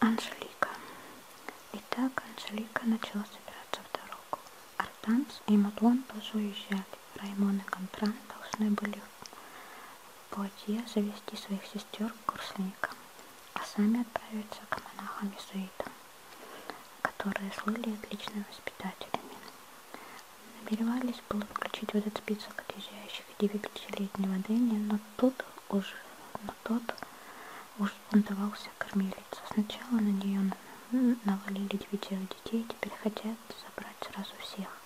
Анжелика. Итак, Анжелика начала собираться в дорогу. Артанс и Мадлон тоже уезжали. Раймон и Контран должны были в Пуатье завести своих сестер к курсникам, а сами отправиться к монахам-иезуитам которые слыли отличными воспитателями. Намеревались было включить в этот список отъезжающих 9-летнего Дэнни, но тут уже но тот уж бунтовался кормилица. Сначала на нее навалили девятеро детей, теперь хотят забрать сразу всех.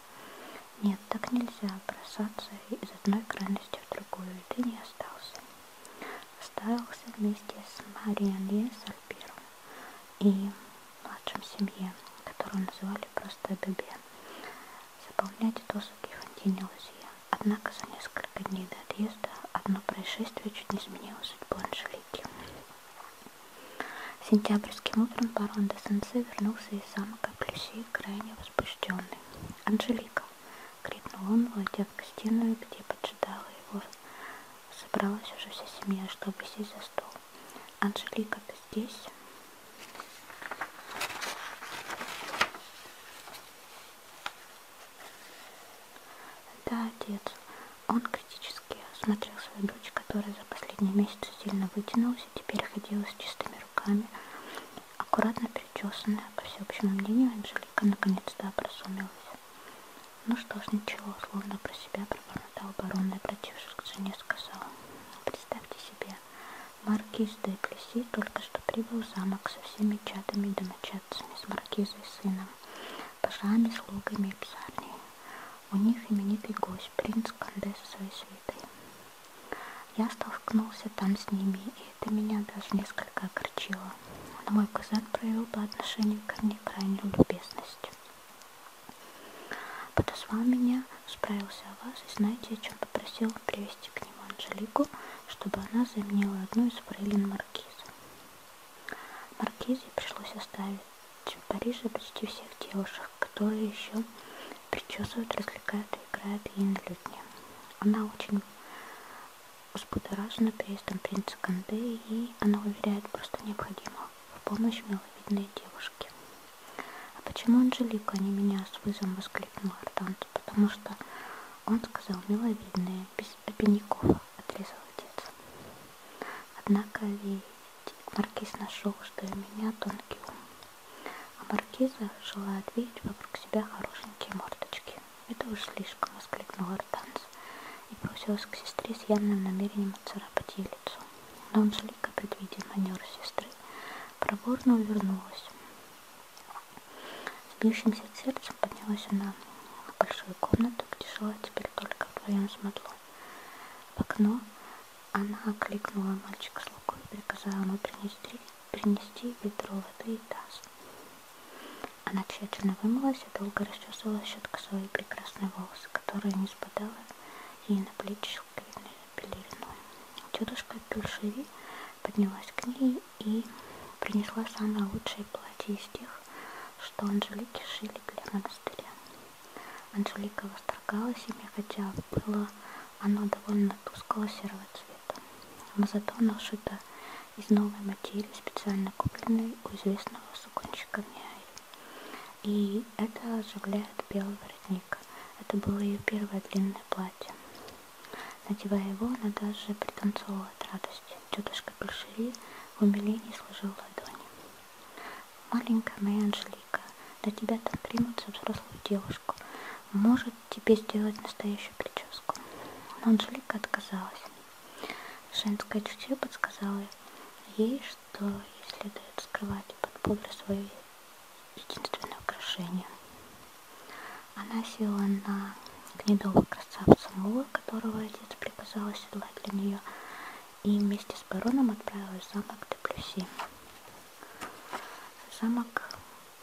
Нет, так нельзя бросаться из одной крайности в другую, и ты не остался ставился вместе с Мариан Ле Сальпером и младшим семье, которую называли просто Бебе, заполнять досуги Фонтине Лузье. Однако за несколько дней до отъезда одно происшествие чуть не изменило судьбу Анжелики. Сентябрьским утром барон де Сенсе вернулся из замка Плюси крайне возбужденный. Анжелика, — крикнул он, войдя в гостиную, где поджидала его. Собралась уже вся семья, чтобы сесть за стол. «Анжелика, ты здесь?» «Да, отец». Он критически осмотрел свою дочь, которая за последние месяцы сильно вытянулась и теперь ходила с чистыми руками, аккуратно перечесанная, по всеобщему мнению, Анжелика наконец-то образумилась. Ну что ж, ничего, словно про себя пробормотал барон, обратившись к жене, сказал. Представьте себе, маркиз де Плеси только что прибыл в замок со всеми чадами и домочадцами, с маркизой и сыном, пажами, слугами и псарней. У них именитый гость, принц Канде со своей свитой. Я столкнулся там с ними, и это меня даже несколько огорчило. Но мой кузен проявил по отношению ко мне крайнюю любезность. Подозвал меня, справился о вас и знаете, о чем попросил привести к нему Анжелику, чтобы она заменила одну из фрейлин Маркиза. Маркизе пришлось оставить в Париже почти всех девушек, которые еще причесывают, развлекают и играют ей на людне. Она очень взбудоражена переездом принца Канды, и она уверяет, просто необходимо в помощь миловидной девушке. «А почему Анжелика, а не меня?» — с вызовом воскликнул Артант. «Потому что он сказал миловидные, без обиняков», — отрезал отец. «Однако ведь маркиз нашел, что у меня тонкий ум, а маркиза желает видеть вокруг себя хорошенькие мордочки» руки. Это уж слишком, воскликнул Гортанс и бросилась к сестре с явным намерением царапать ей лицо. Но Анжелика, предвидя манер сестры, проворно увернулась. С бьющимся сердцем поднялась она в большую комнату, где жила теперь только вдвоем с Мадло. В окно она окликнула мальчика с лукой и приказала ему принести, принести ведро воды и таз. Она тщательно вымылась и долго расчесывала щеткой свои прекрасные волосы, которые не спадала ей на плечи шелковидной пелериной. Тетушка Пюльшеви поднялась к ней и принесла самое лучшее платье из тех, что Анжелики шили для монастыря. Анжелика восторгалась ими, хотя было оно довольно тусклого серого цвета, но зато оно шито из новой материи, специально купленной у известного суконщика Миаи. И это оживляет белый воротник. Это было ее первое длинное платье. Надевая его, она даже пританцовывала от радости. Тетушка Пельшери в умилении сложила ладони. «Маленькая моя Анжелика, до тебя там примут за взрослую девушку. Может тебе сделать настоящую прическу?» Но Анжелика отказалась. Женское чутье подсказало ей, что ей следует скрывать под пудрой свое единственное украшение. Она села на гнедого красавца Мула, которого отец приказал оседлать для нее, и вместе с бароном отправилась в замок Деплюси. Замок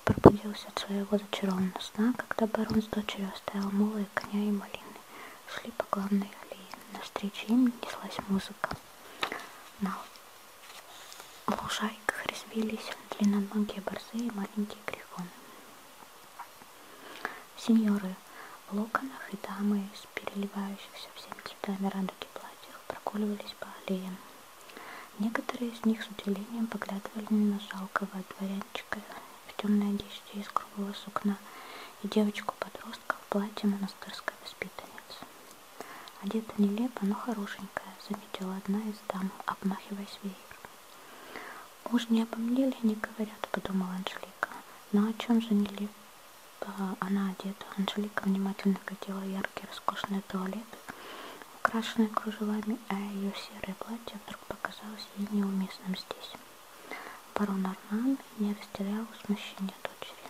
пробудился от своего зачарованного сна, когда барон с дочерью оставил Мула белые коня и малины шли по главной аллее. Навстречу им неслась музыка. На лужайках резвились длинноногие борзы и маленькие грифоны. Сеньоры в локонах и дамы из переливающихся всеми цветами радуги платьях прогуливались по аллеям. Некоторые из них с удивлением поглядывали на жалкого дворянина мальчика в темной одежде из круглого сукна и девочку-подростка в платье монастырской воспитанницы. Одета нелепо, но хорошенькая, заметила одна из дам, обмахиваясь веером. Уж не обо мне ли не говорят, подумала Анжелика. Но о чем же нелепо она одета? Анжелика внимательно глядела яркие роскошные туалеты, украшенные кружевами, а ее серое платье завтрак показался ей неуместным здесь. Барон Арман не растерял смущения дочери.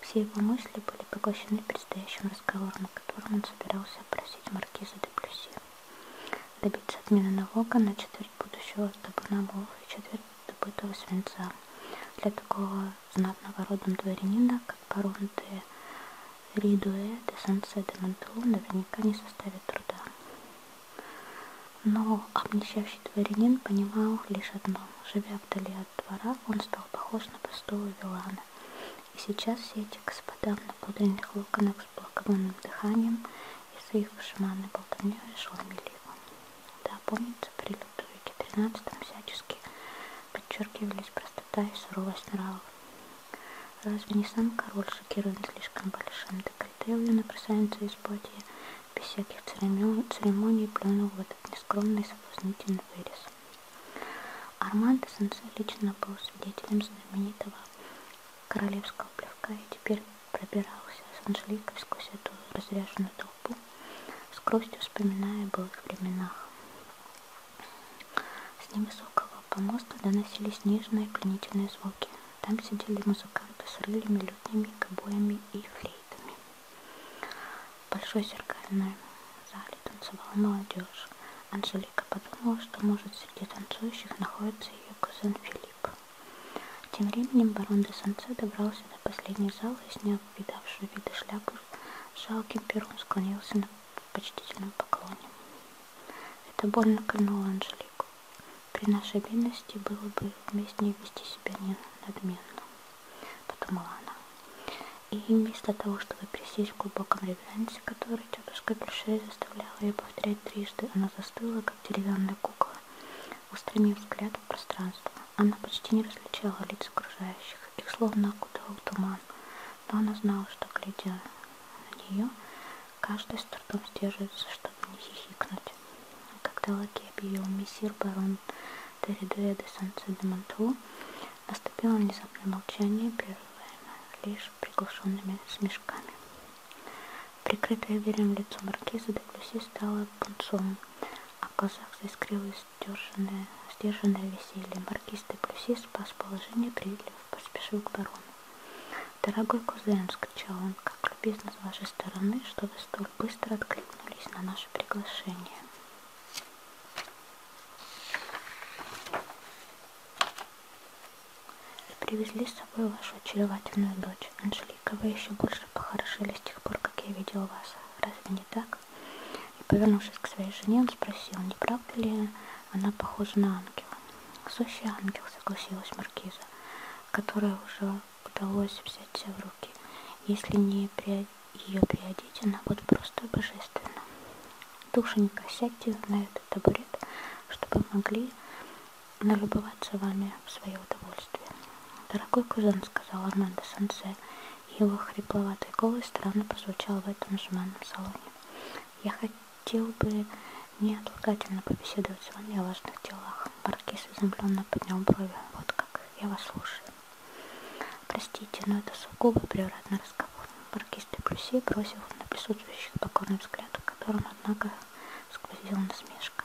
Все его мысли были поглощены предстоящим разговором, на котором он собирался просить маркиза де Плюси. Добиться отмены налога на четверть будущего табунабов и четверть добытого свинца для такого знатного родом дворянина, как барон де Ридуэт и Сансе де Монтелу наверняка не составят труда. Но обнищавший дворянин понимал лишь одно. Живя вдали от двора, он стал похож на простого вилана. И сейчас все эти господа на пудренных локонах с благовонным дыханием и своих вышиманной болтовней ошеломили его. Да, помнится, при Людовике XIII всячески подчеркивались простота и суровость нравов. Разве не сам король шокирован слишком большим декольте юной красавицы из Бодии? Без всяких церемоний плюнул в этот нескромный соблазнительный вырез. Армандо Сенсе лично был свидетелем знаменитого королевского плевка и теперь пробирался с Анжеликой сквозь эту разряженную толпу, с грустью вспоминая о былых временах. С невысокого по мосту доносились нежные пленительные звуки. Там сидели музыканты с рылями, лютнями, кобоями и флейтами. В большой зеркальной зале танцевала молодежь. Анжелика подумала, что может среди танцующих находится ее кузен Филипп. Тем временем барон де Санце добрался до последней залы и, сняв видавшую виды шляпу, жалким пером склонился на почтительном поклоне. Это больно кольнуло Анжелику. При нашей бедности было бы уместнее вести себя не надменно, подумала она. И вместо того, чтобы присесть в глубоком реверансе, который тетушка Пише заставляла ее повторять трижды, она застыла, как деревянная кукла, устремив взгляд в пространство. Она почти не различала лиц окружающих, их словно окутывал туман, но она знала, что, глядя на нее, Каждый с трудом сдерживается, чтобы не хихикнуть. Когда Лаки объявил мессир барон Теридуэ де Санце де Монту, наступило внезапное молчание, прерываемое лишь приглушенными смешками. Прикрытое верем лицо маркиза де Плюси стало пунцовым, а в глазах заискрилось сдержанное, сдержанное веселье. Маркиз де Плюси спас положение, приветливо поспешил к барону. «Дорогой кузен!» — скричал он. «Как любезно с вашей стороны, что вы столь быстро откликнулись на наше приглашение!» «И привезли с собой вашу очаровательную дочь, Анжелика. Вы еще больше похорошели с тех пор, как я видел вас. Разве не так?» И, повернувшись к своей жене, он спросил, не правда ли она похожа на ангела. Сущий ангел, согласилась маркиза, которой уже удалось взять себя в руки. Если не при... ее приодеть, она будет просто божественна. Душенька, сядьте на этот табурет, чтобы могли налюбоваться вами в свое удовольствие. Дорогой кузен, сказал Армандо Сансе, его хрипловатый голос странно прозвучал в этом жеманном салоне. Я хотел бы неотлагательно побеседовать с вами о важных делах. Маркиз изумленно поднял брови. Вот как. Я вас слушаю. Простите, но это сугубо приоритетный разговор. Маркиз де Плюси бросил на присутствующих покорный взгляд, в котором, однако, сквозила насмешка.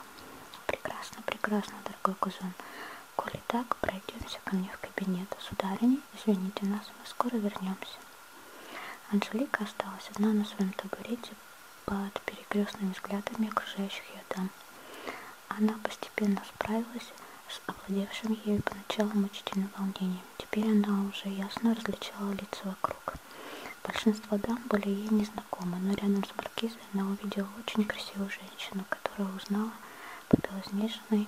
Прекрасно, прекрасно, дорогой кузон. Коли так, пройдемся ко мне в кабинет. Сударыня, извините нас, мы скоро вернемся. Анжелика осталась одна на своем табурете под перекрестными взглядами окружающих ее дам. Она постепенно справилась с овладевшим ею поначалу мучительным волнением. Теперь она уже ясно различала лица вокруг. Большинство дам были ей незнакомы, но рядом с маркизой она увидела очень красивую женщину, которую узнала по белоснежной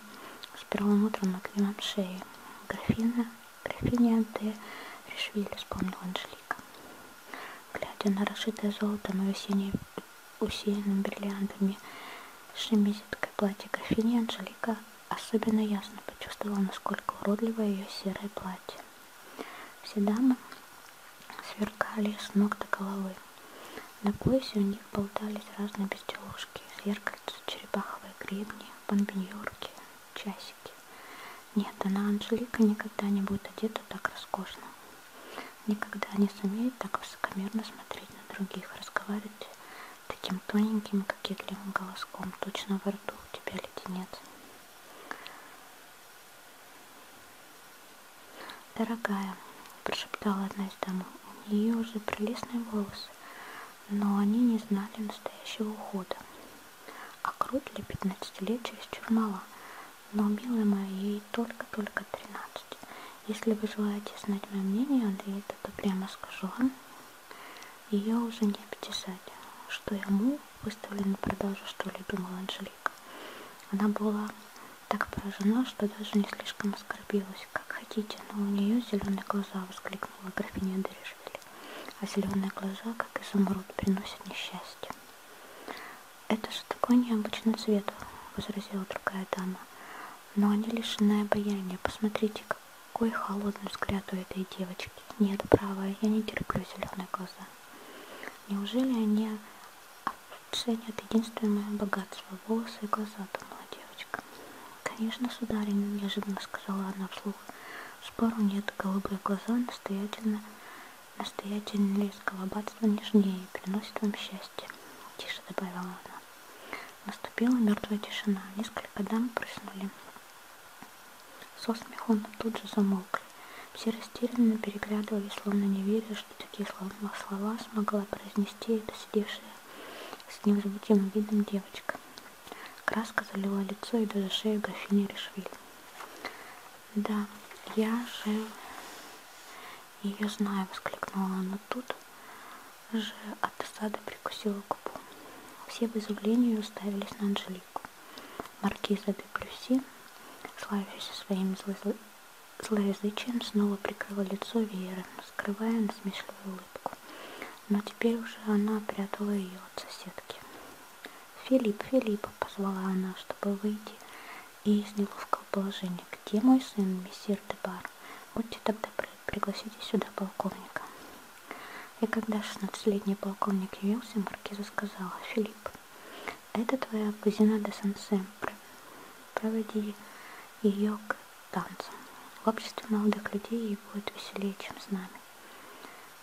с первым утром на шеи. Графина графиня Д. Решвиль, вспомнила Анжелика. Глядя на расшитое золотом и осеннее, усеянным бриллиантами шемизиткой платье графини, Анжелика особенно ясно почувствовала, насколько уродливо ее серое платье. Все дамы сверкали с ног до головы. На поясе у них болтались разные безделушки, зеркальца, черепаховые гребни, бомбиньорки, часики. Нет, она Анжелика никогда не будет одета так роскошно. Никогда не сумеет так высокомерно смотреть на других, разговаривать таким тоненьким, кокетливым голоском. Точно во рту у тебя леденец. Дорогая, прошептала одна из дам, у нее уже прелестные волосы, но они не знали настоящего ухода а крут для пятнадцатилетия из Чурмала. Но, милая моя, ей только-только тринадцать. Если вы желаете знать мое мнение, Андреита, то прямо скажу вам, ее уже не обтесать. Что ему выставлено продажу, что ли, думала Анжелика. Она была так поражена, что даже не слишком оскорбилась. Как хотите, но у нее зеленые глаза, воскликнула графиня Дережель а зеленые глаза, как изумруд, приносят несчастье. «Это же такой необычный цвет», — возразила другая дама. «Но они лишены обаяния. Посмотрите, какой холодный взгляд у этой девочки. Нет, правая, я не терплю зеленые глаза. Неужели они ценят единственное богатство — волосы и глаза?» — думала девочка. «Конечно, сударыня», — неожиданно сказала она вслух. Спору нет, голубые глаза настоятельно, настоятельно колобатства нежнее и приносит вам счастье, тише добавила она. Наступила мертвая тишина, несколько дам прыснули. Со смеху но тут же замолкли. Все растерянно переглядывались, словно не веря, что такие слова смогла произнести эта сидевшая с невозмутимым видом девочка. Краска залила лицо и даже шею графини Ришвиль. «Да, я же ее знаю», — воскликнула она тут же от досады прикусила губу. Все в изумлении уставились на Анжелику. Маркиза де Плюси, славившаяся своим зло злоязычием, снова прикрыла лицо Веры, скрывая насмешливую улыбку. Но теперь уже она прятала ее от соседки. «Филипп, Филипп!» — позвала она, чтобы выйти и из неловкого положения. «Где мой сын, мессир Дебар? Будьте тогда при... пригласите сюда полковника». И когда шестнадцатилетний полковник явился, маркиза сказала, «Филипп, это твоя кузина де Сансе. Проводи ее к танцам. В обществе молодых людей ей будет веселее, чем с нами».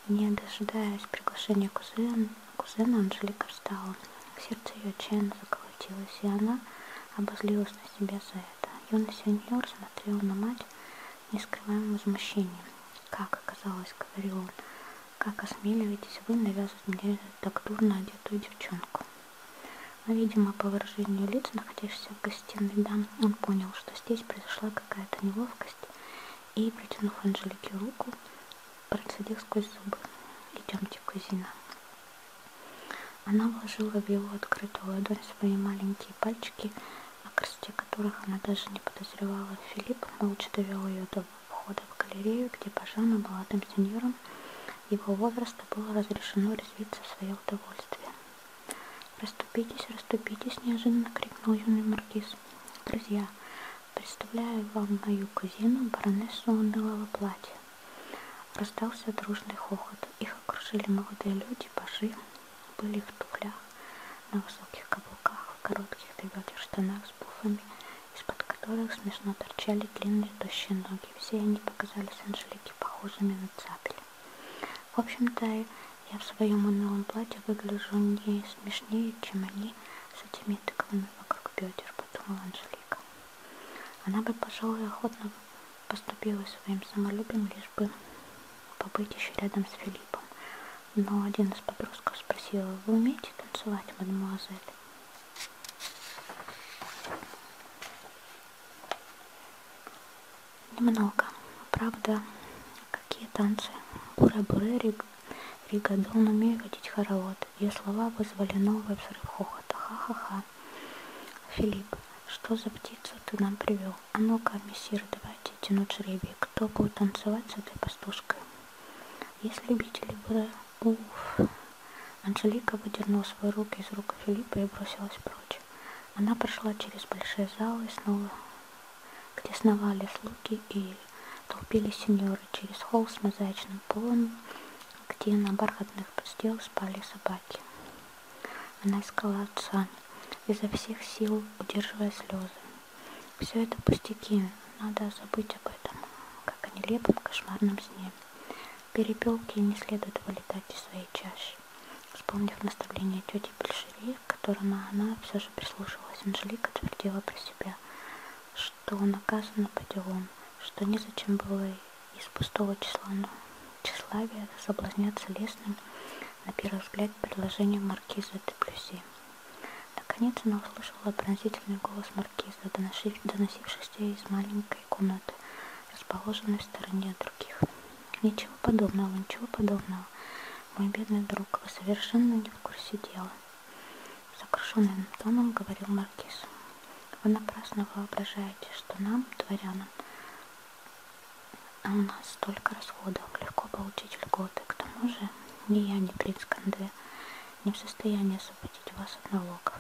Не дожидаясь приглашения кузена, кузена Анжелика встала. Сердце ее отчаянно заколотилось, и она обозлилась на себя за это. Юный сеньор смотрел на мать нескрываемым возмущением. «Как оказалось, — говорил он, — как осмеливаетесь вы навязывать мне так дурно одетую девчонку?» Но, видимо, по выражению лиц, находящихся в гостиной дам, он понял, что здесь произошла какая-то неловкая жидкость и, протянув Анжелике руку, процедил сквозь зубы. «Идемте, кузина». Она вложила в его открытую ладонь свои маленькие пальчики, о красоте которых она даже не подозревала. Филипп молча довел ее до входа в галерею, где Пажану, молодым сеньором его возраста, было разрешено резвиться в свое удовольствие. «Раступитесь, раступитесь!» – неожиданно крикнул юный маркиз. «Друзья, представляю вам мою кузину, баронессу унылого платья!» Раздался дружный хохот. Их окружили молодые люди, пажи, были в туфлях, на высоких каблуках, в коротких до бедер штанах с буфами, из-под которых смешно торчали длинные тощие ноги. Все они показались Анжелике похожими на цапель. В общем-то, я в своем унылом платье выгляжу не смешнее, чем они с этими тыквами вокруг бедер, подумала Анжелика. Она бы, пожалуй, охотно поступила своим самолюбием, лишь бы побыть еще рядом с Филиппом. Но один из подростков спросил, вы умеете танцевать, мадемуазель? Немного. Правда, Какие танцы? Буры-буры, Рига, Рига, дон, умею водить хоровод. Ее слова вызвали новый взрыв хохота. Ха-ха-ха. Филипп, что за птицу ты нам привел? А ну-ка, мессир, давайте тянуть жребий. Кто будет танцевать с этой пастушкой? Есть любители буры? Уф. Анжелика выдернула свои руки из рук Филиппа и бросилась прочь. Она прошла через большие залы и снова где сновали слуги и толпились сеньоры через холл с мозаичным полом, где на бархатных постелах спали собаки. Она искала отца, изо всех сил удерживая слезы. Все это пустяки, надо забыть об этом, как о нелепом кошмарном сне. Перепелки не следует вылетать из своей чаши. Вспомнив наставление тети Большевей, к которому она все же прислушивалась. Анжелика твердила про себя, что наказана по делам, что незачем было из пустого числа, тщеславия соблазняться лесным, на первый взгляд, предложением маркиза де Плюси. Наконец она услышала пронзительный голос маркиза, доносившийся из маленькой комнаты, расположенной в стороне от других. Ничего подобного, ничего подобного. Мой бедный друг, вы совершенно не в курсе дела. Сокрушенным тоном говорил Маркиз. Вы напрасно воображаете, что нам, дворянам, у нас столько расходов, легко получить льготы. К тому же ни я, ни принц Канде не в состоянии освободить вас от налогов.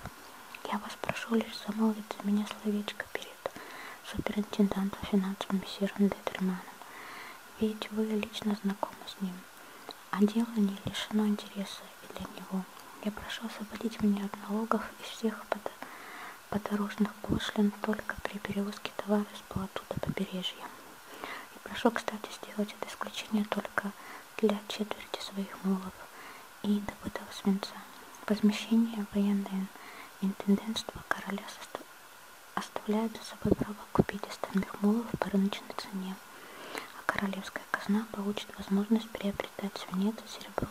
Я вас прошу лишь замолвить за меня словечко перед суперинтендантом финансов мессиром Детельманом ведь вы лично знакомы с ним, а дело не лишено интереса и для него. Я прошу освободить меня от налогов и всех под... подорожных пошлин только при перевозке товара с плоту до побережья. И прошу, кстати, сделать это исключение только для четверти своих мулов и добытого свинца. Возмещение военное интендентство короля оставляют за собой право купить остальных мулов по рыночной цене, а королевская казна получит возможность приобретать свинец и серебро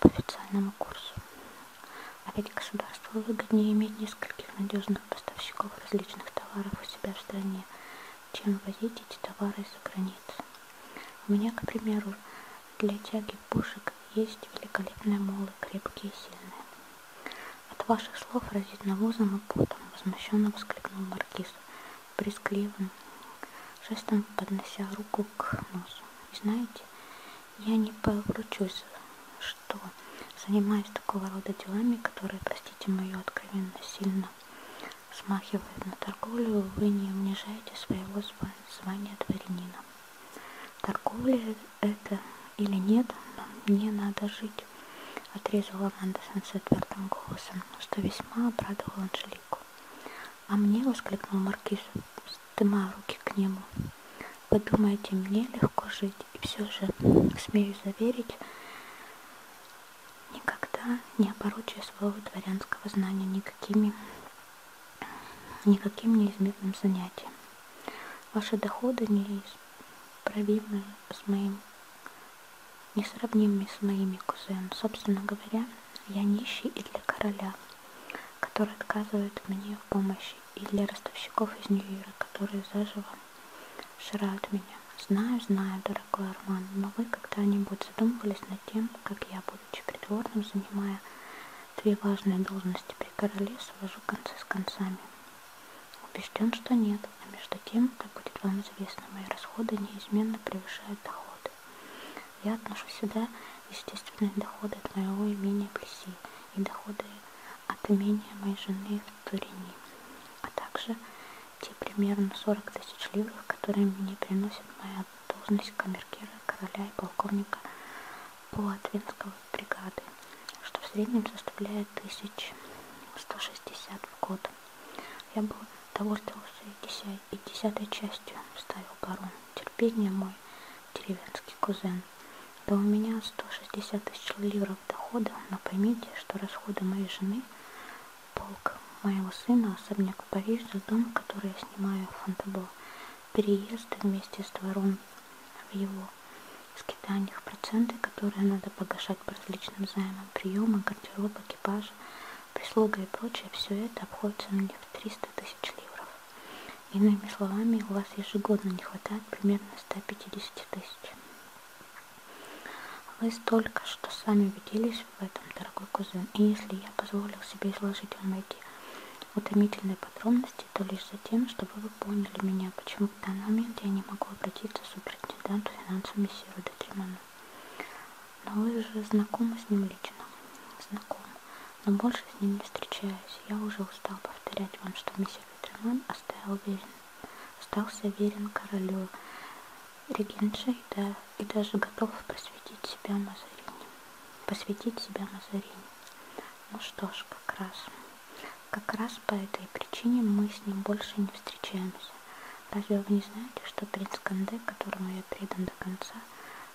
по официальному курсу. А ведь государству выгоднее иметь нескольких надежных поставщиков различных товаров у себя в стране, чем возить эти товары из-за границы. У меня, к примеру, для тяги пушек есть великолепные молы, крепкие и сильные. От ваших слов разит навозом и потом, возмущенно воскликнул маркиз, прискливым жестом поднося руку к носу. И знаете, я не поручусь, что занимаюсь такого рода делами, которые, простите мою откровенность, сильно смахивают на торговлю, вы не унижаете своего звания дворянина. Торговля это или нет, но мне надо жить, отрезала Аманда Сенсе твердым голосом, что весьма обрадовал Анжелику. А мне, воскликнул маркиз, вздымая руки к нему, вы думаете, мне легко жить, и все же, смею заверить, никогда не оборочу своего дворянского знания никакими, никаким неизмерным занятием. Ваши доходы не из пробимы с моим, несравнимыми с моими кузенами. Собственно говоря, я нищий и для короля, который отказывает мне в помощи, и для ростовщиков из Нью-Йорка, которые заживо ширают меня. Знаю, знаю, дорогой Арман, но вы когда-нибудь задумывались над тем, как я, будучи придворным, занимая две важные должности при короле, свожу концы с концами. Убежден, что нет, а между тем, как будет вам известно, мои расходы неизменно превышают доходы. Я отношу сюда естественные доходы от моего имения Плеси и доходы от имения моей жены в Турини, а также те примерно 40 тысяч ливров, которые мне приносит моя должность камеркира короля и полковника Полотвинского бригады, что в среднем составляет 1160 в год. Я бы довольствовался и, деся... и десятой частью, ставил барон. Терпение мой, деревенский кузен. Да у меня 160 тысяч ливров дохода, но поймите, что расходы моей жены, полк моего сына, особняк в Париже, дом, который я снимаю в Фонтабло, переезды вместе с двором в его скитаниях, проценты, которые надо погашать по различным займам, приемы, гардероб, экипажа, прислуга и прочее, все это обходится на них в 300 тысяч ливров. Иными словами, у вас ежегодно не хватает примерно 150 тысяч. Вы столько, что сами убедились в этом, дорогой кузен, и если я позволил себе изложить вам эти утомительные подробности, области, то лишь за тем, чтобы вы поняли меня, почему в данный момент я не могу обратиться к супретенденту финансовому мессиру Декиману. Но вы же знакомы с ним лично. Знаком. Но больше с ним не встречаюсь. Я уже устал повторять вам, что мессир Ветерман оставил верен. Остался верен королю регенша и, да, и даже готов просветить себя Мазарине. Посвятить себя Мазарине. Ну что ж, как раз. Как раз по этой причине мы с ним больше не встречаемся. Разве вы не знаете, что принц Канде, которому я предан до конца,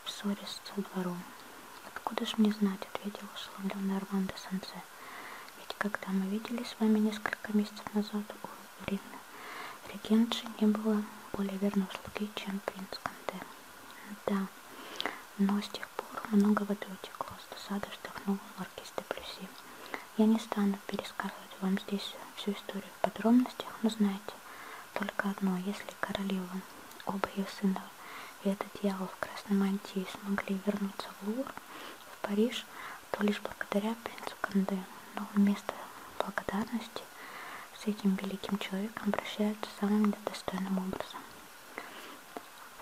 в ссоре со двором? Откуда ж мне знать, ответил условленный Арман де Санце. Ведь когда мы виделись с вами несколько месяцев назад у Рима, регенши не было более верной слуги, чем принц Канде. Да, но с тех пор многого утекло с досады вздохнул маркиз де Плюси. Я не стану пересказывать вам здесь всю историю в подробностях, но знаете только одно. Если королева, оба ее сына и этот дьявол в красной мантии смогли вернуться в Лувр, в Париж, то лишь благодаря принцу Канде. Но вместо благодарности с этим великим человеком обращаются самым недостойным образом.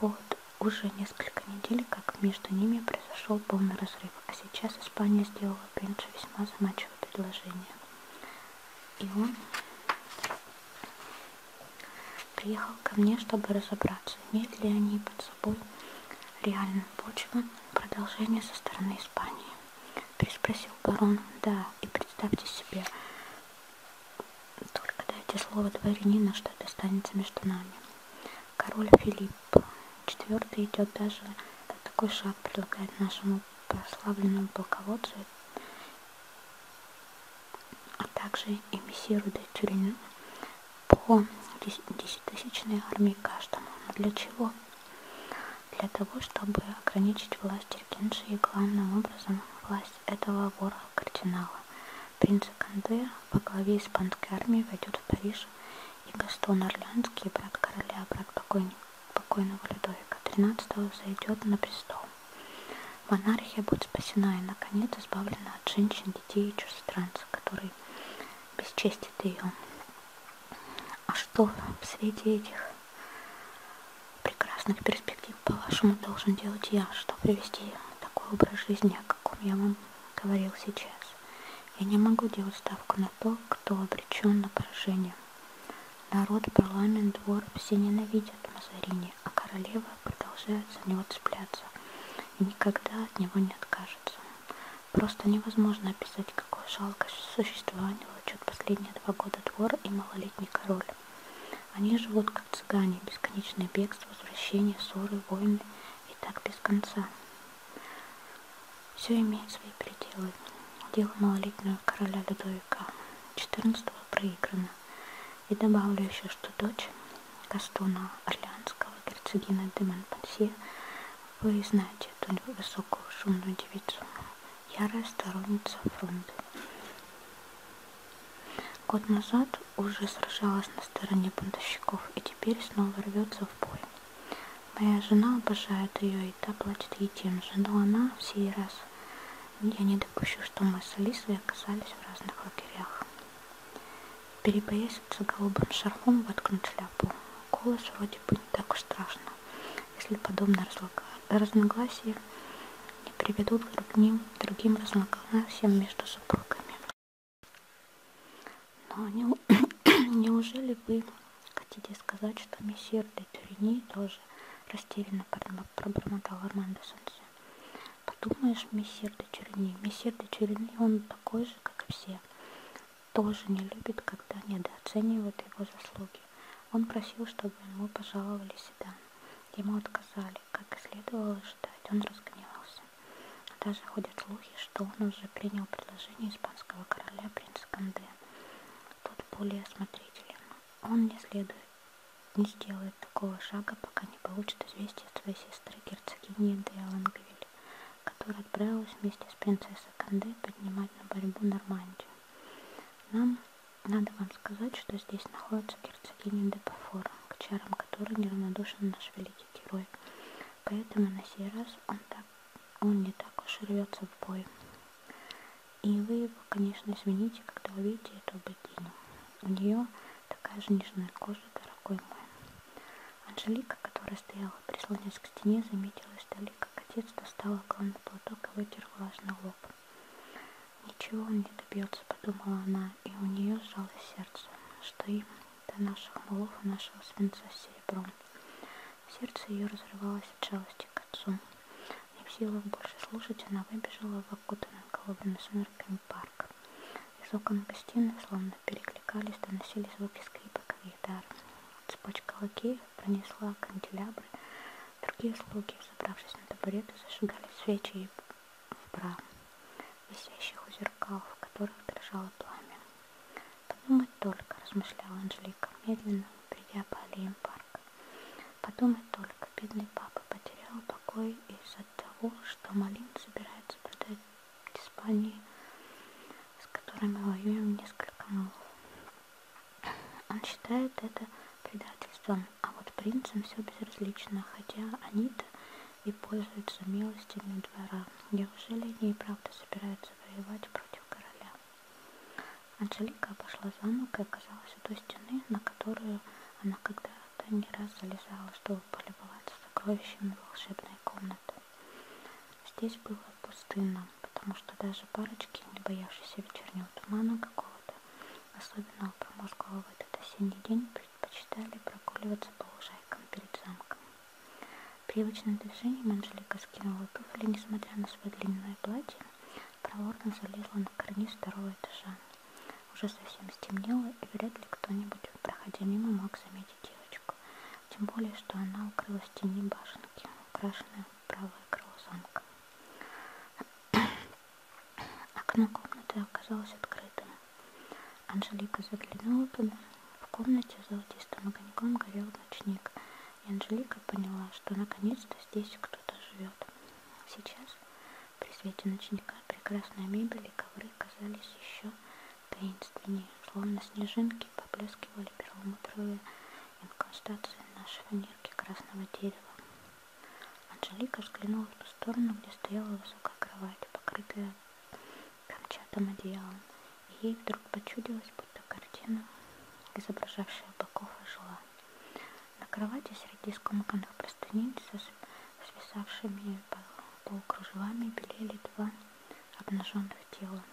Вот уже несколько недель, как между ними произошел полный разрыв, а сейчас Испания сделала Пенджи весьма заманчивое предложение. И он приехал ко мне, чтобы разобраться, имеют ли они под собой реальную почву продолжения со стороны Испании. Переспросил барон, да, и представьте себе, только дайте слово дворянина, что это останется между нами король Филипп IV идет даже такой шаг предлагает нашему прославленному полководцу, а также эмиссиру де Тюрина по десятитысячной армии каждому. Но для чего? Для того, чтобы ограничить власть Иркинши и главным образом власть этого вора-кардинала. Принц Канде по главе испанской армии войдет в Париж, и Гастон Орлянский, брат короля, брат покойного Людовика XIII, зайдет на престол. Монархия будет спасена и, наконец, избавлена от женщин, детей и чужестранцев, которые бесчестит ее. А что среди этих прекрасных перспектив, по-вашему, должен делать я, что привести такой образ жизни, о каком я вам говорил сейчас. Я не могу делать ставку на то, кто обречен на поражение. Народ, парламент, двор все ненавидят Мазарини, а королева продолжает за него цепляться и никогда от него не откажется. Просто невозможно описать, какое жалкое существование влачет последние два года двор и малолетний король. Они живут как цыгане, бесконечное бегство, возвращение, ссоры, войны – и так без конца. Все имеет свои пределы. Дело малолетнего короля Людовика XIV проиграно. И добавлю еще, что дочь Гастона Орлеанского, герцогина де Монпансье, вы знаете эту высокую шумную девицу, ярая сторонница фронта. Год назад уже сражалась на стороне бунтовщиков и теперь снова рвется в бой. Моя жена обожает ее, и та платит ей тем же, но она в сей раз я не допущу, что мы с Алисой оказались в разных лагерях. Перебоясь голубым шарфом воткнуть шляпу, голос вроде бы не так уж страшно, если подобное разногласие не приведут к другим, другим разногласиям между супругами. Но ну, а не, неужели вы хотите сказать, что месье де Тюрини тоже растерянно пробормотал Армандо Сансе? Подумаешь, месье де Тюрини, месье де Тюрини, он такой же, как и все. Тоже не любит, когда недооценивают его заслуги. Он просил, чтобы ему пожаловали седан. Ему отказали, как и следовало ждать. Он разгневался. Даже ходят слухи, что он уже принял предложение испанского короля принца Канде. Тот более осмотрителен. Он не следует, не сделает такого шага, пока не получит известие от своей сестры герцогини де Лангвиль, которая отправилась вместе с принцессой Канде поднимать на борьбу Нормандию. Нам надо вам сказать, что здесь находится герцогиня де Пафора, к чарам которой неравнодушен наш великий великий герой. Поэтому на сей раз он, так, он не так уж рвется в бой. И вы его, конечно, извините, когда увидите эту богиню. У нее такая же нежная кожа, дорогой мой. Анжелика, которая стояла, прислонясь к стене, заметила издали, как отец достал огромный платок и вытер влажный лоб. «Ничего он не добьется», — подумала она, и у нее сжалось сердце, что им до наших молов и нашего свинца с серебром. Сердце ее разрывалось от жалости к отцу. Не в силах больше слушать, она выбежала в окутанный голубыми сумерками парк. Из окон гостиной словно перекликались, доносили звуки скрипок и гитар. Цепочка лакеев пронесла канделябры. Другие слуги, забравшись на табуреты, зажигали свечи и бра, висящих у зеркал, в которых дрожало пламя. Подумать только, размышляла Анжелика, медленно придя по аллеям парка. Подумать только, бедный папа потерял покой из-за того, что Малин собирается продать Испании, с которой мы воюем несколько мол. Он считает это предательством, а вот принцам все безразлично, хотя они-то и пользуется милостями двора. Неужели они и правда собираются воевать против короля? Анжелика обошла замок и оказалась у той стены, на которую она когда-то не раз залезала, чтобы полюбоваться сокровищами волшебной комнаты. Здесь было пустынно, потому что даже парочки, не боявшиеся вечернего тумана какого-то, особенного промозглого в этот осенний день, предпочитали прогуливаться по лужайкам перед замком. Привычным движением Анжелика скинула туфли, несмотря на свое длинное платье, проворно залезла на карниз второго этажа. Уже совсем стемнело, и вряд ли кто-нибудь, проходя мимо, мог заметить девочку. Тем более, что она укрылась в тени башенки, украшенной правое крыло замка. Окно комнаты оказалось открытым. Анжелика заглянула туда. В комнате золотистым огоньком горел ночник, и Анжелика поняла, что наконец-то здесь кто-то живет. Сейчас при свете ночника прекрасная мебель и ковры казались еще таинственнее, словно снежинки поблескивали перламутровые инкрустации на шифонерке красного дерева. Анжелика взглянула в ту сторону, где стояла высокая кровать, покрытая камчатым одеялом, и ей вдруг почудилась, будто картина, изображавшая быков ожила. На кровати среди скомканных простыней со свисавшими полукружевами белели два обнаженных тела.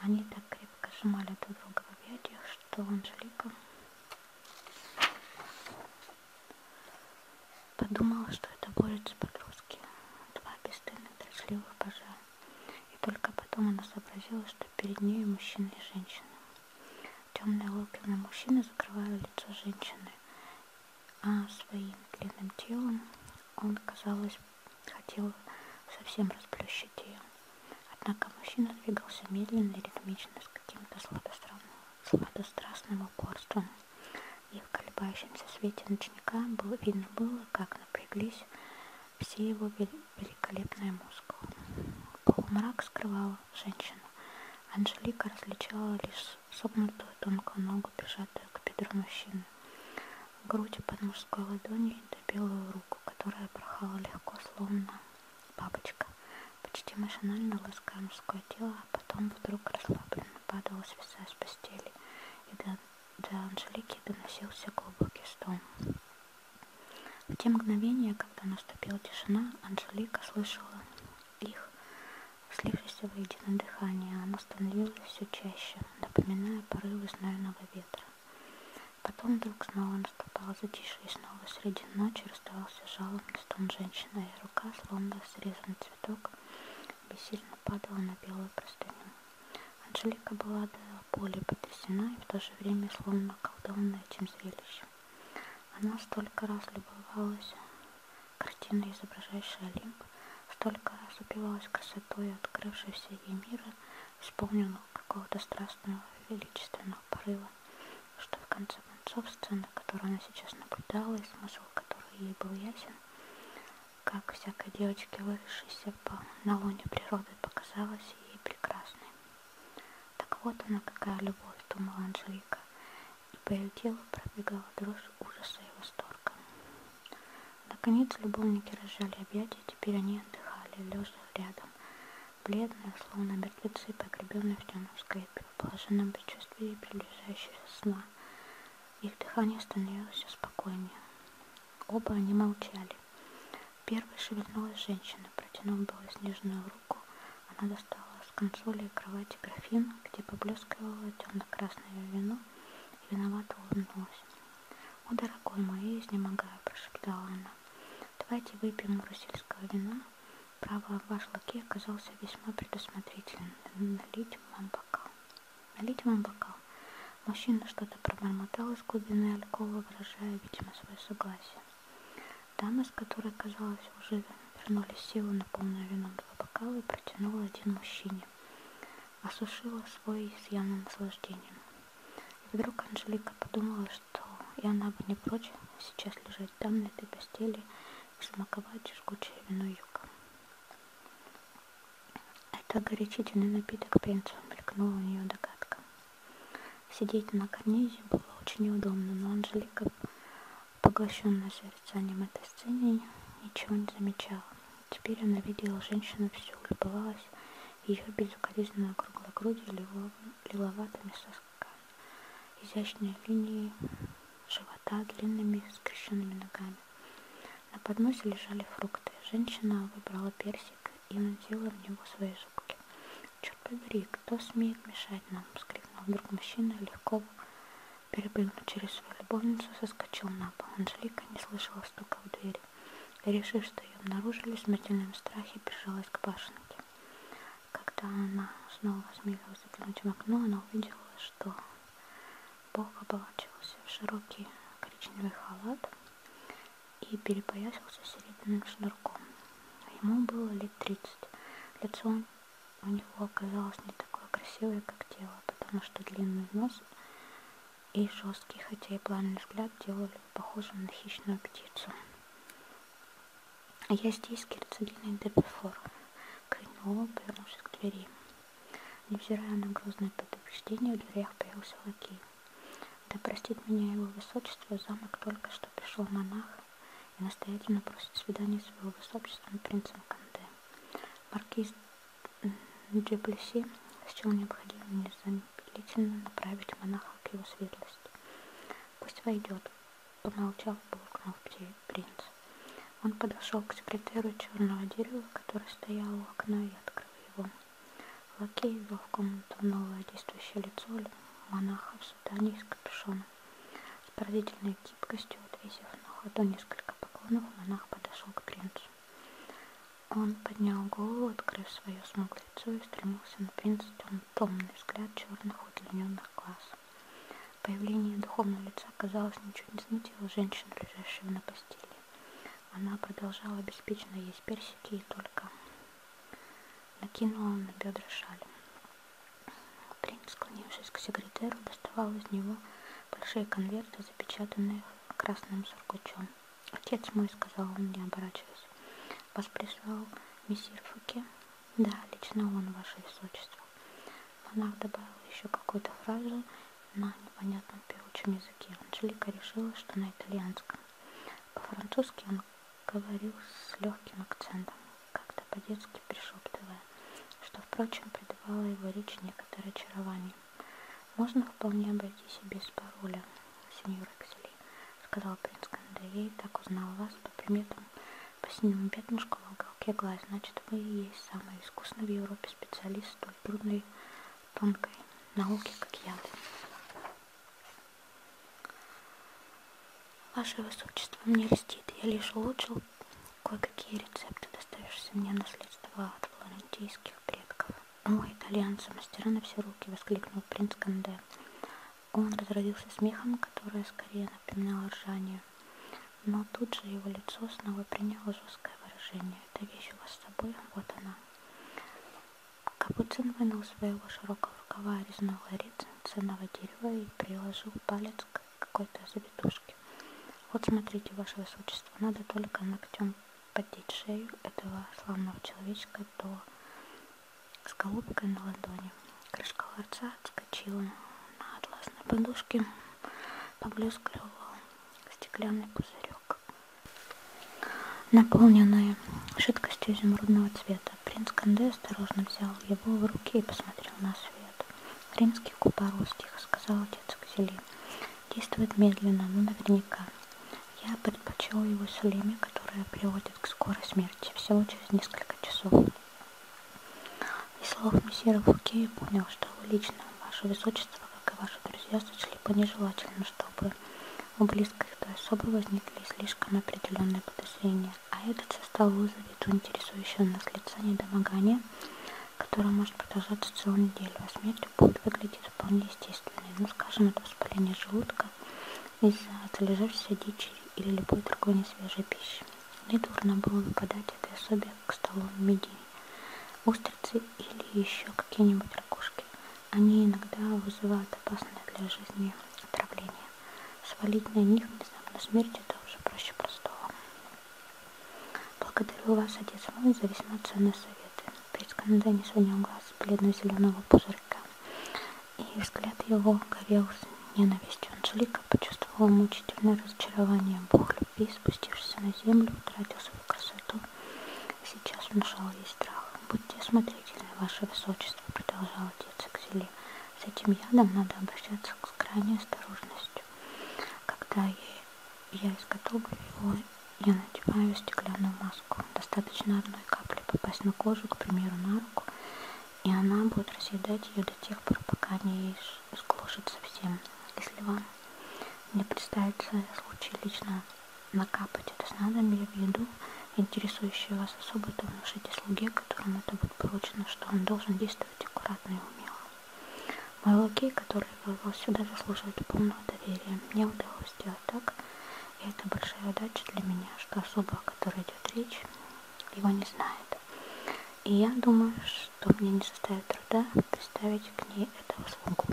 Они так крепко сжимали друг друга в объятиях, что Анжелика Подумала, что это борется с погрузки. Два бесстыдных, трусливых пажа. И только потом она сообразила, что перед ней мужчина и женщина. Темные локоны мужчины закрывали лицо женщины, а своим длинным телом он, казалось, хотел совсем расплющить ее. Однако мужчина двигался медленно и ритмично, с каким-то сладострастным упорством и в колебающемся свете ночника было, видно было, как напряглись все его великолепные мускулы. Полумрак скрывал женщину. Анжелика различала лишь согнутую тонкую ногу, прижатую к бедру мужчины. Грудь под мужской ладонью и белую руку, которая порхала легко, словно бабочка. Почти машинально лаская мужское тело, а потом вдруг расслабленно падала, свисая с постели, и до, до Анжелики доносился глубокий стон. В те мгновения, когда наступила тишина, Анжелика слышала их, слившееся воедино дыхание. Оно становилось все чаще, напоминая порывы знойного ветра. Потом вдруг снова наступало затишье, и снова среди ночи раздавался жалобный стон женщины, и рука, словно срезанный цветок, и сильно падала на белую простыню. Анжелика была до боли потрясена и в то же время словно околдованная этим зрелищем. Она столько раз любовалась картиной, изображающей Олимп, столько раз упивалась красотой, открывшейся ей мира, исполненного какого-то страстного величественного порыва, что в конце концов сцена, которую она сейчас наблюдала, и смысл которой ей был ясен, как всякой девочке, выросшейся по, на луне природы, показалась ей прекрасной. Так вот она какая любовь, думала Анжелика, и по ее телу пробегала дрожь ужаса и восторга. Наконец любовники разжали объятия, теперь они отдыхали, лежа рядом, бледные, словно мертвецы, погребенные в темном склепе, в положенном предчувствии приближающегося сна. Их дыхание становилось все спокойнее. Оба они молчали. Первой шевельнулась женщина, протянув белоснежную руку. Она достала с консоли и кровати графин, где поблескивало темно-красное вино, и виновато улыбнулась. «О, дорогой мой, изнемогаю», – прошептала она. «Давайте выпьем русельского вина. Право, ваш лакей оказался весьма предусмотрительным» налить вам бокал. Налить вам бокал. Мужчина что-то пробормотал из глубины алькова, выражая, видимо, свое согласие. Дама, с которой, казалось, уже вернули силу на полную вином два бокала, и протянула один мужчине. Осушила свой с явным наслаждением. И вдруг Анжелика подумала, что и она бы не прочь сейчас лежать там, на этой постели, и смаковать жгучее вино юга. Это горячительный напиток пенсу, мелькнула у нее догадка. Сидеть на карнизе было очень неудобно, но Анжелика, поглощенная созерцанием этой сцены, ничего не замечала. Теперь она видела женщину всю, любовалась ее безукоризненно круглой грудью лиловатыми сосками, изящные линии живота живота длинными скрещенными ногами. На подносе лежали фрукты. Женщина выбрала персик и надела в него свои зубки. «Черт побери, кто смеет мешать нам?» — вскрикнул вдруг мужчина, легко перепрыгнул через свою любовницу, соскочил на пол. Анжелика не слышала стука в двери. И, решив, что ее обнаружили, в смертельном страхе прижалась к башенке. Когда она снова осмелилась заглянуть в окно, она увидела, что Бог облачился в широкий коричневый халат и перепоясился серебряным шнурком. Ему было лет тридцать. Лицо у него оказалось не такое красивое, как тело, потому что длинный нос и жесткий, хотя и плавный взгляд делали похожим на хищную птицу. «Я здесь, герцогиня Дебефор», — крикнул он, повернувшись к двери. Невзирая на грозное предупреждение, в дверях появился лакей. Да простит меня его высочество, в замок только что пришел монах и настоятельно просит свидания с его высочеством принцем Канде. Маркиз Джеплеси счел необходимым незамедлительно направить монаха к его светлости. «Пусть войдет», — помолчав, буркнул принц. Он подошел к секретеру черного дерева, который стоял у окна и открыл его. Лакей ввел в комнату новое действующее лицо монаха в сутане из капюшона. С поразительной гибкостью, отвесив на ходу несколько поклонов, монах подошел к принцу. Он поднял голову, открыв свое смуглое лицо и стремился на принца тем, томный взгляд черных удлиненных глаз. Появление духовного лица, казалось, ничуть не смутило женщину, лежащую на постели. Она продолжала беспечно есть персики и только накинула на бедра шаль. Принц, склонившись к секретеру, доставал из него большие конверты, запечатанные красным сургучом. «Отец мой», — сказал он, не оборачиваясь, — «вас прислал мессир Фуке?» «Да, лично он, ваше высочество». Монах добавил еще какую-то фразу на непонятном певучем языке. Анжелика решила, что на итальянском. По-французски он говорил с легким акцентом, как-то по-детски пришептывая, что, впрочем, придавало его речь некоторое очарование. «Можно вполне обойтись и без пароля, сеньор Эксели», — сказал принц Конде. «Я и так узнал вас по приметам, по синему пятнышку, мушка в уголке глаз, значит вы и есть самый искусный в Европе специалист столь трудной тонкой науки, как яды. Ваше Высочество мне льстит, я лишь улучшил кое-какие рецепты, доставившиеся мне наследство от флорентийских предков. О, итальянцы, мастера на все руки, воскликнул принц Канде. Он разразился смехом, которое скорее напоминало ржание. Но тут же его лицо снова приняло жесткое выражение. «Это вещь у вас с собой? Вот она». Капуцин вынул своего широкого рукава резного рица ценного дерева и приложил палец к какой-то завитушке. «Вот смотрите, ваше высочество, надо только ногтем поддеть шею этого славного человечка до с голубкой на ладони. Крышка ларца отскочила, на атласной подушке поблескивал стеклянный пузырек, наполненный жидкостью изумрудного цвета. Принц Канде осторожно взял его в руки и посмотрел на свет. «Римский купорос», — тихо сказал отец Кзели. «Действует медленно, но наверняка. Я предпочел его сулеме, которая приводит к скорой смерти, всего через несколько часов». Из слов мессира Фуке я понял, что вы лично, ваше высочество, как и ваши друзья, сочли бы нежелательно, чтобы у близких той особы возникли слишком определенные подозрения, а этот состав вызовет у интересующего нас лица недомогание, которое может продолжаться целую неделю, а смерть будет выглядеть вполне естественной, ну, скажем, от воспаления желудка из-за залежавшейся дичи или любой другой несвежей пищи. Недурно было бы подать этой особе к столу мидии, устрицы или еще какие-нибудь ракушки. Они иногда вызывают опасное для жизни отравление. Свалить на них внезапно смерть это уже проще простого. Благодарю вас, отец мой, за весьма ценные советы. Присканда не сводил глаз с бледно-зеленого пузырька, и взгляд его горел с ненавистью. Анжелика почувствовал мучительное разочарование. Бог любви, спустившийся на землю, утратил свою красоту. Сейчас внушал ей страх. «Будьте осмотрительны, ваше высочество», — продолжал отец Экзели. «С этим ядом надо обращаться с крайней осторожностью. Когда я, я изготовлю его, я надеваю стеклянную маску. Достаточно одной капли попасть на кожу, к примеру, на руку, и она будет разъедать ее до тех пор, пока не сглушит совсем. Если вам не представится случай лично накапать это снадобье в еду, интересующую вас особо, то внушите слуге, которому это будет поручено, что он должен действовать аккуратно и умело. Мой лакей, который вывел сюда, заслуживает полного доверия. Мне удалось сделать так, и это большая удача для меня, что особа, о которой идет речь, его не знает. И я думаю, что мне не составит труда представить к ней этого слугу.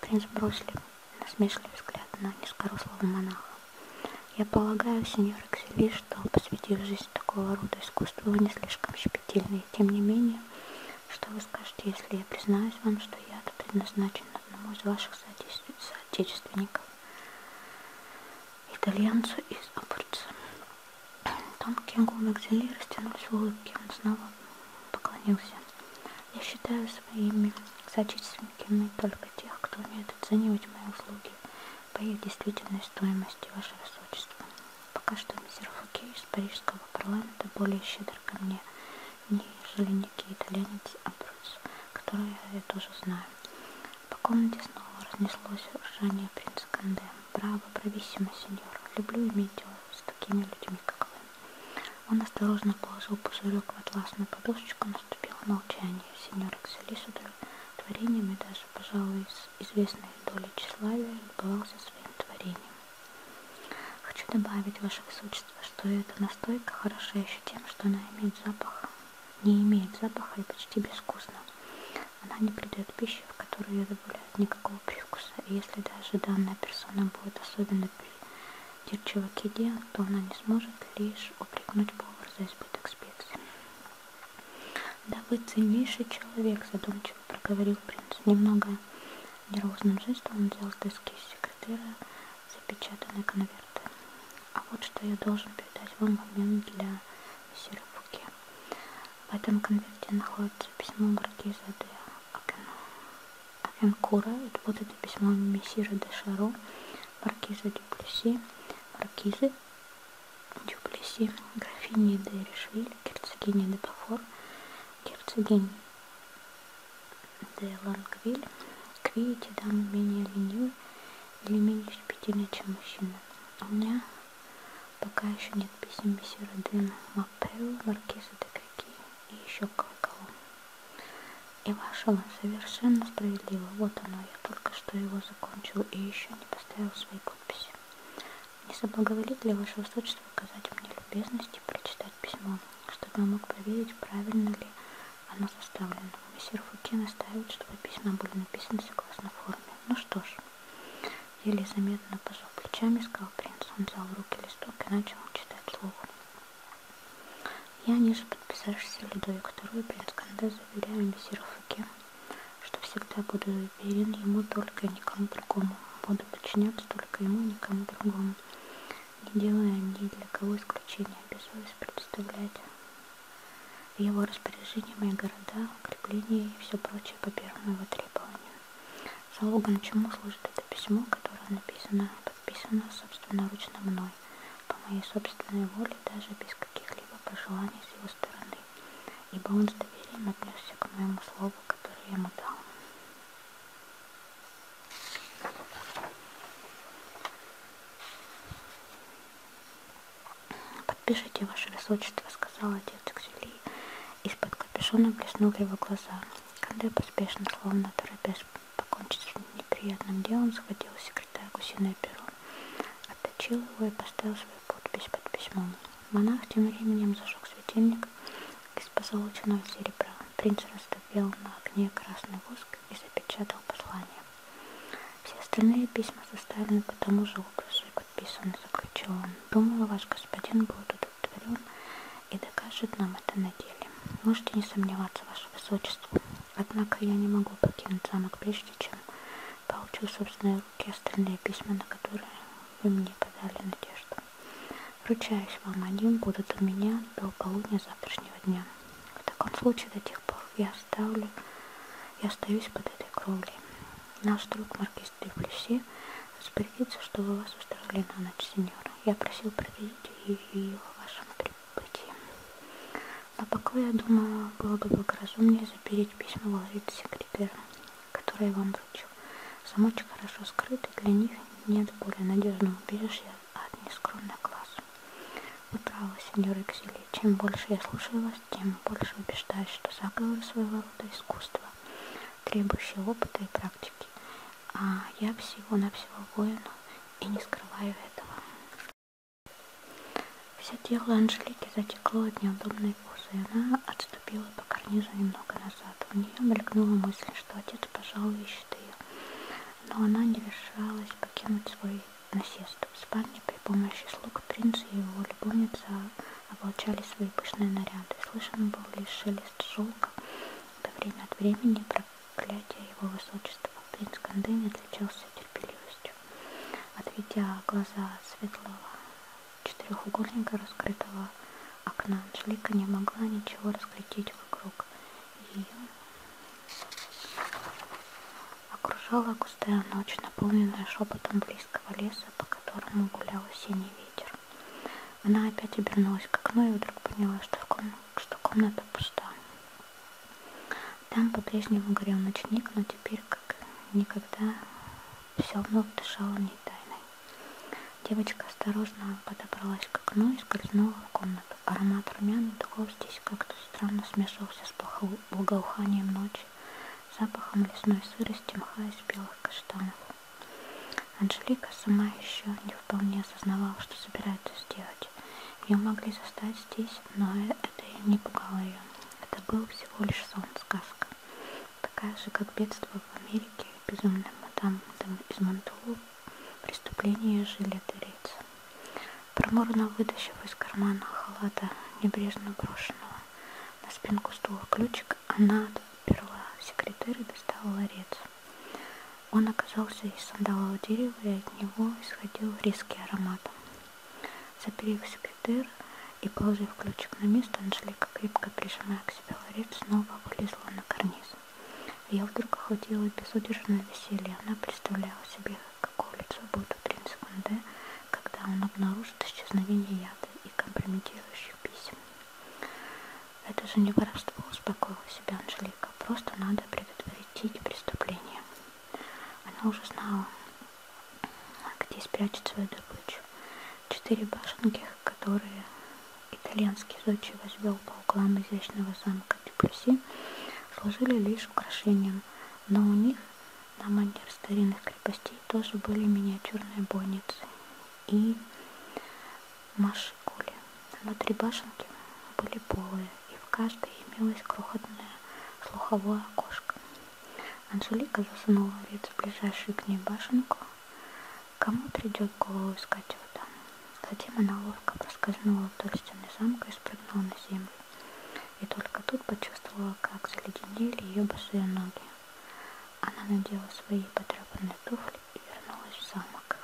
Принц бросили насмешливый взгляд на низкорослого монаха. Я полагаю, сеньор Эксели, что, посвятив жизнь такого рода искусству, вы не слишком щепетильны. И тем не менее, что вы скажете, если я признаюсь вам, что яд предназначен одному из ваших соотечественников, итальянцу из Апурца? Тонкие губы Ксели растянулись в улыбке. Он снова поклонился. Я считаю своими соотечественниками только тех, кто умеет оценивать мои услуги по их действительной стоимости, ваше высочество. Пока что мистер Фуке из парижского парламента более щедр ко мне, нежели некий итальянец Абрус, которого я тоже знаю. По комнате снова разнеслось ржание принца Канде. Браво, брависсимо, сеньор. Люблю иметь дело с такими людьми, как вы. Он осторожно положил пузырек в атласную подушечку, наступило молчание. Сеньор Эксели с удовлетворением и даже, пожалуй, с известной долей тщеславия любовался своим творением. Хочу добавить, ваше высочество, что эта настойка хороша еще тем, что она имеет запах, не имеет запаха и почти безвкусна. Она не придает пищи, в которую ее добавляют никакого привкуса, и если даже данная персона будет особенно придирчива к еде, то она не сможет лишь упрекнуть повар за избыток специй. «Да вы ценнейший человек», — задумчиво проговорил принц. Немного нервозным жестом он взял с доски секретаря запечатанный конверт. «А вот что я должен передать вам в обмен для мессира Фуке. В этом конверте находится письмо маркиза де Акен... Акенкура, вот это письмо мессира де Шаро, маркиза Дюплеси, маркизы Дюплеси, графини де Ришвиль, герцогини де Бафор, герцогинь де Лангвиль, к видите, дам менее ленивый или менее щепетильный, чем мужчина. У меня Пока еще нет писем месье Родена, Мапео, Маркиза де Каки и еще кое-кого. И ваше он совершенно справедливо. Вот оно, я только что его закончил и еще не поставил свои подписи. Не соблаговолит ли ваше высочество оказать мне любезность и прочитать письмо, чтобы я мог проверить, правильно ли оно составлено. Месье Фуке настаивает, чтобы письма были написаны согласно форме. Ну что ж, Еле заметно пожал плечами, сказал принц. Он взял в руки листок и начал читать слух. Я ниже подписавшийся Людовик II, принц Канде, заверяю мессиру Факе, что всегда буду верен ему только и никому другому. Буду подчиняться только ему и никому другому, не делая ни для кого исключения, обязуюсь предоставлять в его распоряжение мои города, укрепления и все прочее по первому его требованию. Залогом чему служит это письмо, которое написано, подписано собственноручно мной, по моей собственной воле, даже без каких-либо пожеланий с его стороны, ибо он с доверием отнесся к моему слову, которое я ему дал. Подпишите, Ваше Высочество, сказал отец Ксюли. Из-под капюшона блеснули его глаза. Канде поспешно, словно торопясь покончить с неприятным делом, схватил секретарь гусиное перо, отточил его и поставил свою подпись под письмом. Монах тем временем зажег светильник из позолоченного серебра. Принц растопил на огне красный воск и запечатал послание. Все остальные письма составлены по тому же образу и подписаны, заключил он. Думаю, ваш господин будет удовлетворен и докажет нам это на деле. Можете не сомневаться, ваше высочество. Однако я не могу покинуть замок, прежде чем получу в собственные руки остальные письма, на которые вы мне подали надежду. Ручаюсь вам, они будут у меня до полудня завтрашнего дня. В таком случае до тех пор я оставлю, я остаюсь под этой кровлей. Наш друг Маркиз посетив Люси, распорядиться, чтобы вас устроили на ночь, сеньора. Я просил проведить ее в вашем прибытии. Но пока я думала, было бы благоразумнее запереть письма в ловит секретаря, который я вам вручил. Замочек хорошо скрыт, и для них нет более надежного убежища от нескромных глаз. Вы правы, сеньор Эксели. Чем больше я слушаю вас, тем больше убеждаюсь, что заговоры своего рода искусство требующий опыта и практики. А я всего-навсего воину и не скрываю этого. Все тело Анжелики затекло от неудобной позы, и она отступила по карнизу немного назад. У нее мелькнула мысль, что отец, пожалуй, ищет ее. Но она не решалась покинуть свой насест. В спальне при помощи слуг принца и его любовница облачали свои пышные наряды. Слышен был лишь шелест шелка, до время от времени проклятие его высочества. Принц Кандын отличался терпеливостью. Отведя глаза светлого четырехугольника раскрытого окна, Анжелика не могла ничего разглядеть вокруг. Ее окружала густая ночь, наполненная шепотом близкого леса, по которому гулял синий ветер. Она опять обернулась к окну и вдруг поняла, что, в комна... что комната пуста. Там по-прежнему горел ночник, но теперь, как никогда, все вновь дышало не тайной. Девочка осторожно подобралась к окну и скользнула в комнату. Аромат румяных духов здесь как-то странно смешивался с благоуханием ночи, запахом лесной сырости, мха из белых каштанов. Анжелика сама еще не вполне осознавала, что собирается сделать. Ее могли застать здесь, но это не пугало ее. Это был всего лишь сон, сказка. Такая же, как бедство в Америке, безумная мадам из Монтулу, преступление жилета рейца. Проморно вытащив из кармана халата, небрежно брошенного на спинку стула ключик, как она отперла секретарь и достала ларец. Он оказался из сандалового дерева, и от него исходил резкий аромат. Заперев секретарь и положив ключик на место, Анжелика, крепко прижимая к себе ларец, снова вылезла на карниз. Я вдруг охватила безудержное веселье. Она представляла себе, какое лицо будет у принца Конде, когда он обнаружит исчезновение яда и компрометирующих писем. Это же не воровство, успокоила себя Анжелика. Просто надо предотвратить преступление. Она уже знала, где спрячет свою добычу. Четыре башенки, которые итальянский зодчий возвел по углам изящного замка Дюплюси, служили лишь украшением, но у них на манер старинных крепостей тоже были миниатюрные бойницы и машикули. Внутри башенки были полые, и в каждой имелось крохотное слуховое окошко. Анжелика засунула вид в ближайшую к ней башенку. Кому придет голову искать его там? Затем она ловко проскользнула вдоль стены замка и спрыгнула на землю. И только тут почувствовала, как заледенели ее босые ноги. Она надела свои потрепанные туфли и вернулась в замок.